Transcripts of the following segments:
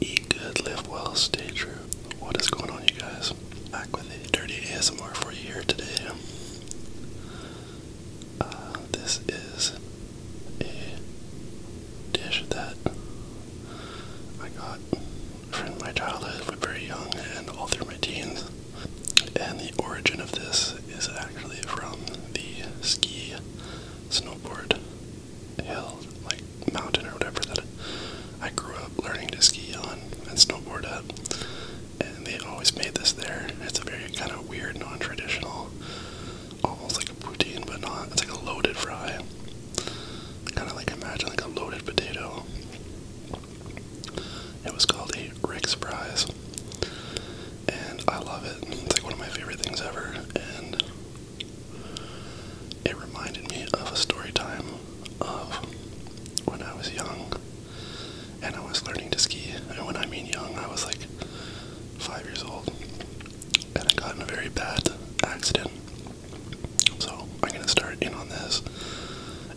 Eat good, live well, stay true. What is going on, you guys? Back with a dirty ASMR for you here today. Uh, this is a dish that I got from my childhood when very young and all through my teens. And the origin of this is actually from the ski snowboard hill, like mountain or whatever that I grew up learning to ski on and snowboard at and they always made this there. It's a very kind of weird, non-traditional, almost like a poutine, but not. It's like a loaded fry. Kind of like imagine like a loaded potato. It was called a Rick's Fries, and I love it. It's like one of my favorite things ever, and it reminded me of a story time of when I was young and I was learning to ski. And when I mean young, I was like five years old, and I got in a very bad accident. So I'm gonna start in on this,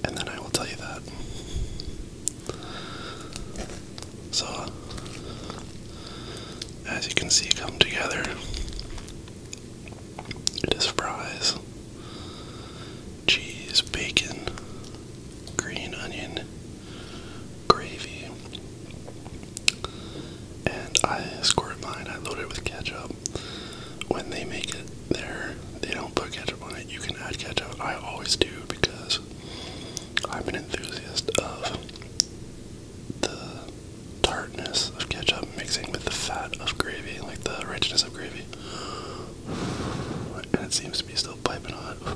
and then I will tell you that. So, as you can see, come together. It is cheese, bacon, green onion, gravy. And I squirt mine, I loaded it with ketchup. When they make it there, they don't put ketchup on it. You can add ketchup. I always do because I'm an enthusiast of the tartness of ketchup mixing with the fat of gravy, like the richness of gravy. And it seems to be still piping hot.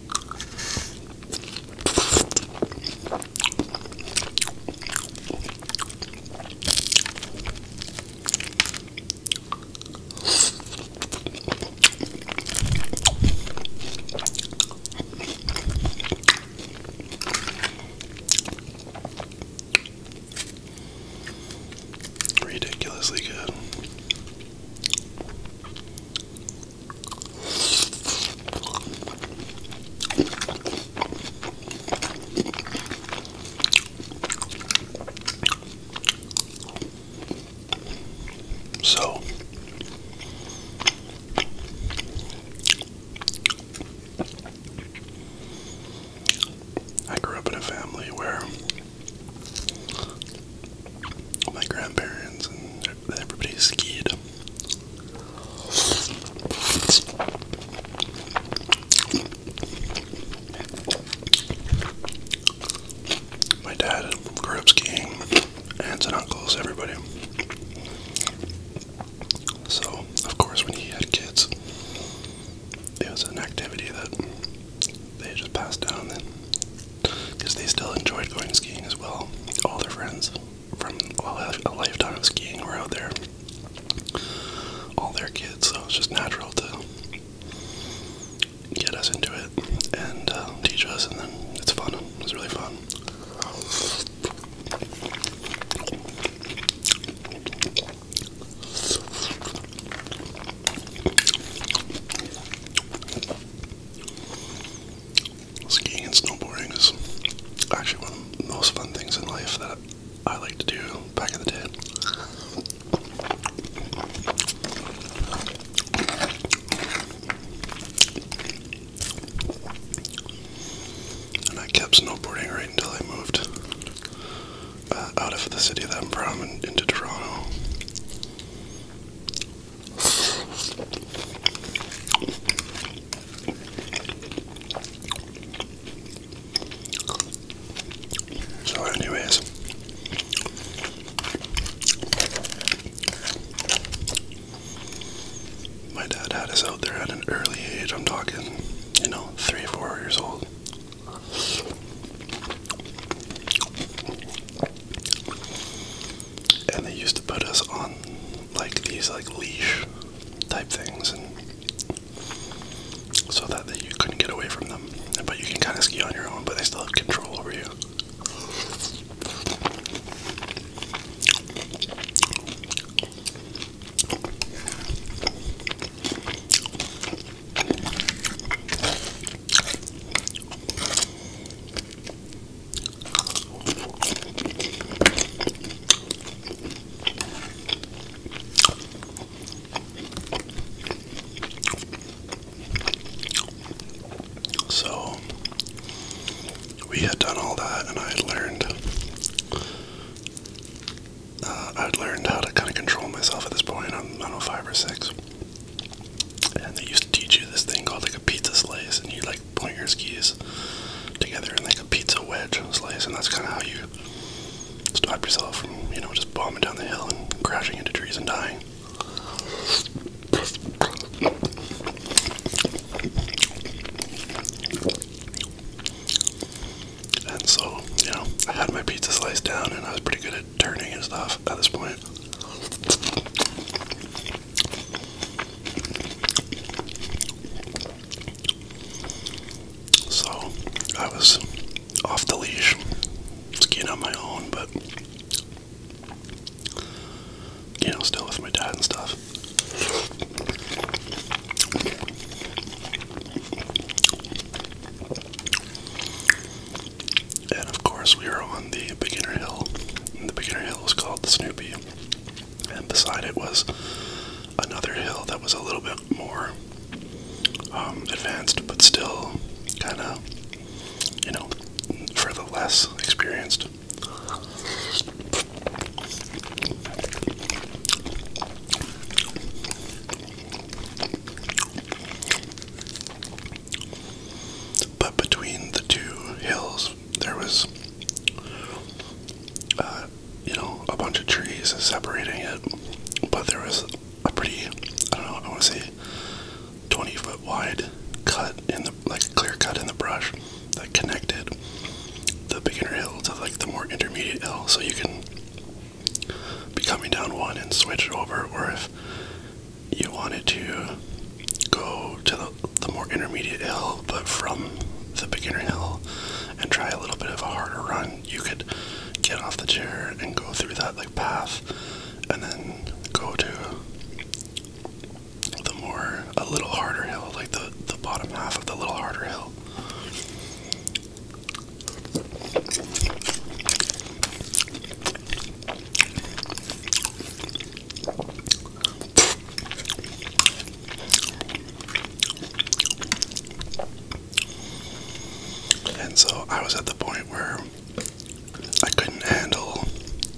Ridiculously good. So I grew up in a family where my grandparents and everybody skied. My dad grew up skiing, aunts and uncles, everybody. So, of course, when he had kids, it was an activity that they just passed down because they still enjoyed going skiing as well. All their friends from all a lifetime of skiing were out there. All their kids, so it's just natural to get us into it and uh, teach us, and then it's fun. It's really fun skiing and snowboarding is actually one of the most fun things in life that I like to do back in the day. And I kept snowboarding right until I moved uh, out of the city that i into Toronto. So, anyways, my dad had us out there at an early age. I'm talking, you know, three, four years old and they used to put us on like these like leash type things and so that, that you couldn't get away from them but you can kind of ski on your own but they still have control over you so we had done all that, and I had learned. Uh, I'd learned how to kind of control myself at this point. I'm, I don't know, five or six. And they used to teach you this thing called like a pizza slice, and you like point your skis together in like a pizza wedge slice, and that's kind of how you stop yourself from, you know, just bombing down the hill and crashing into trees and dying. And so, you know, I had my pizza slice down and I was pretty good at turning and stuff at this point. So I was off the leash, skiing on my own, but you know, still with my dad and stuff. And of course, we were on the beginner hill. the beginner hill was called the Snoopy. And beside it was another hill that was a little bit more um, advanced, but still kind of, you know, for the less experienced. But between the two hills, there was uh, you know a bunch of trees separating it, but there was a pretty I don't know I want to say twenty foot wide cut in the like clear cut in the brush that connected the beginner hill to like the more intermediate hill, so you can be coming down one and switch over, or if you wanted to go to the, the more intermediate hill, but from the beginner hill and try a little bit of a harder run, you could get off the chair and go through that like path and then go to the more a little harder hill, like the, the bottom half of the little harder hill. And so I was at the point where I couldn't handle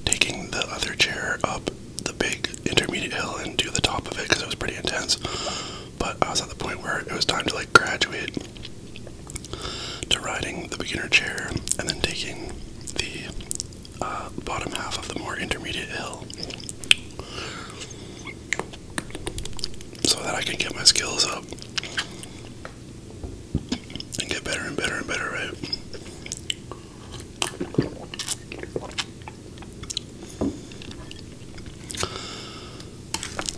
taking the other chair up the big intermediate hill and do the top of it because it was pretty intense. But I was at the point where it was time to like graduate to riding the beginner chair and then taking the uh, bottom half of the more intermediate hill so that I can get my skills up and get better and better and better, right?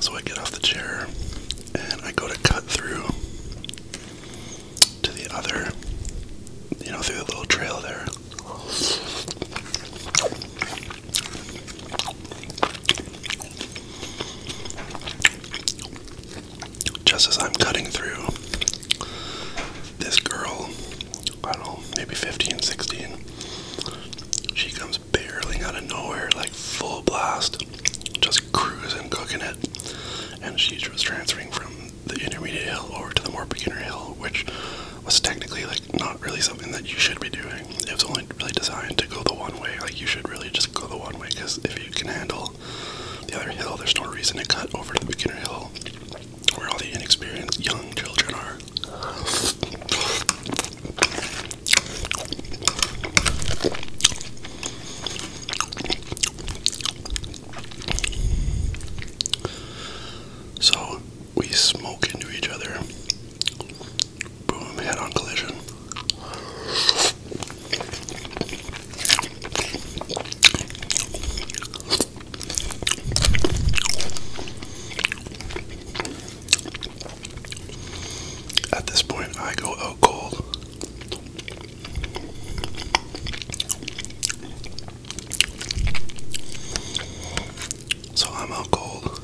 So I get off the chair and I go to cut through to the other, you know, through a little trail there. Just as I'm cutting through, this girl, I don't know, maybe 15, 16, she comes barreling out of nowhere, like full blast, just cruising, cooking it. And she was transferring from the intermediate hill or to the more beginner hill, which was technically like not really something that you should be doing. It was only really designed to go the one way. Like you should really just go the one way because if you can handle the other hill, there's no reason to cut over to the beginner hill where all the inexperienced young children are. So we smoke into each other. Boom, head on collision. At this point, I go out cold. So I'm out cold.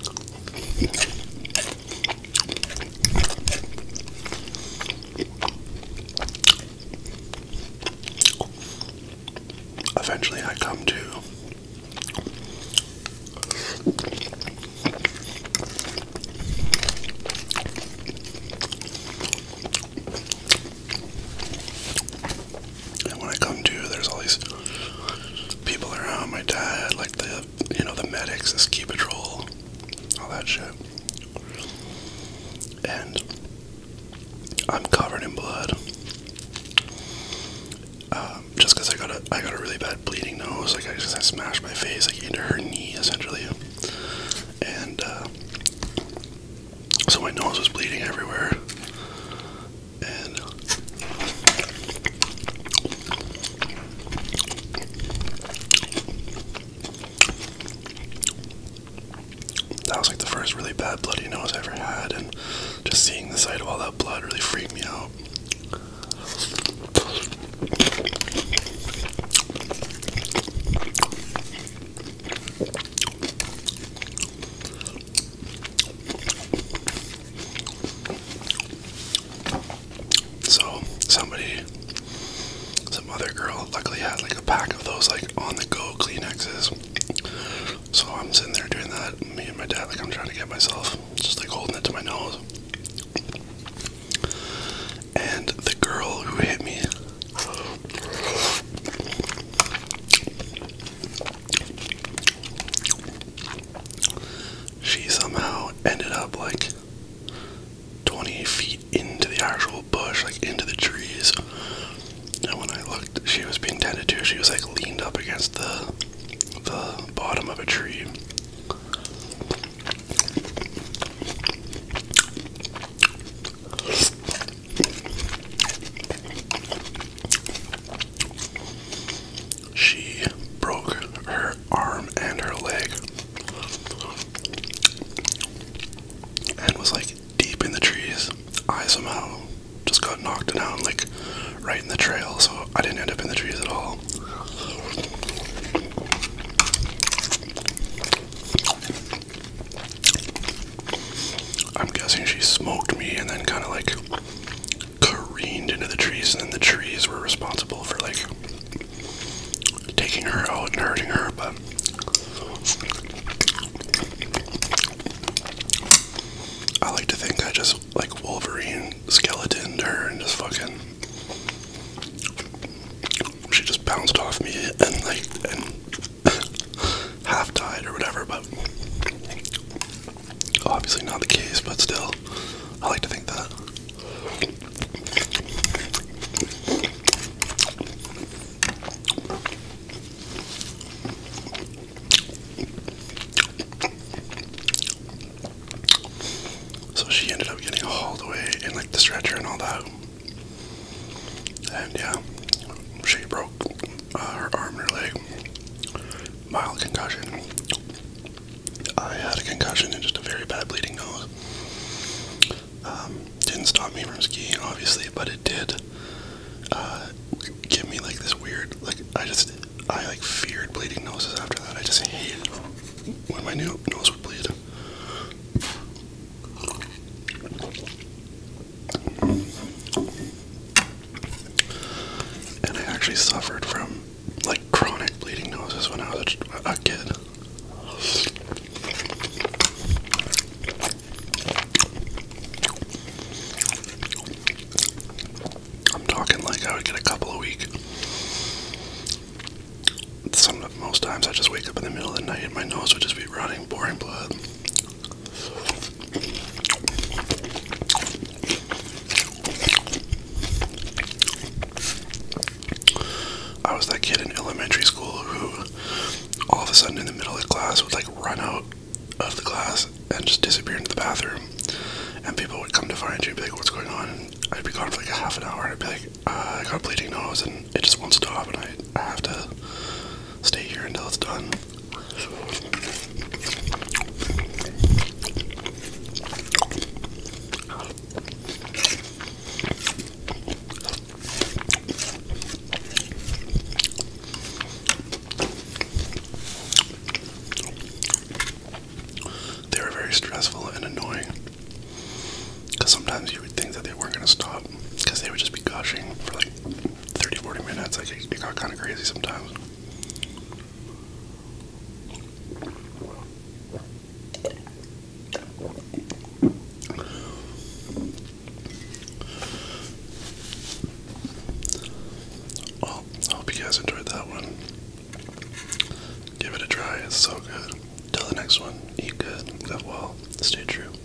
Eventually, I come to and when I come to, there's all these people around. My dad, like the you know the medics, the ski patrol, all that shit. And I'm covered in blood. Um, just because I got a I got a really bad bleeding nose. Like I just smashed my face like into her knee essentially, and. Uh, so my nose was bleeding everywhere. And that was like the first really bad bloody nose I ever had, and just seeing the sight of all that blood really freaked me out. So somebody, some other girl, luckily had like a pack of those like on the go Kleenexes. So I'm sitting there doing that. Me and my dad, like I'm trying to get myself, just like holding it to my nose. And the girl who hit me she somehow ended up like 20 feet into the actual bush, like into the trees. And when I looked, she was being tended to. She was like leaned up against the the bottom of a tree. She broke her arm and her leg and was like deep in the trees. I somehow just got knocked down, like right in the trail, so I didn't end up in the trees at all. I'm guessing she smoked me and then kind of like careened into the trees, and then the trees were responsible for like taking her out and hurting her. But I like to think I just like Wolverine skeletoned her and just fucking. She just bounced off me and like and half died or whatever, but obviously not the case, but still, I like to think that. So she ended up getting hauled away in like the stretcher and all that. And yeah, she broke uh, her arm and her leg. Mild concussion. I had a concussion and just a very bad bleeding nose. Um, didn't stop me from skiing, obviously, but it did uh, give me like this weird, like I just, I like feared bleeding noses after that. I just hated when my new nose would bleed. And I actually suffered from like chronic bleeding noses when I was a, kid. I'm talking like I would get a couple a week. Some most times I just wake up in the middle of the night and my nose would just be running, pouring blood. I was that kid in elementary school who all of a sudden in the middle of class would like run out of the class and just disappear into the bathroom. And people would come to find you and be like, what's going on? I'd be gone for like a half an hour I'd be like, uh, I got a bleeding nose and it just wants to stop, and I, I have to stay here until it's done. They were very stressful and annoying because sometimes you would think that they weren't going to stop because they would just be gushing for like 30, 40 minutes. Like it, it got kind of crazy sometimes. Well, oh, I hope you guys enjoyed that one. Give it a try, it's so good. Till the next one, eat good, live well, stay true.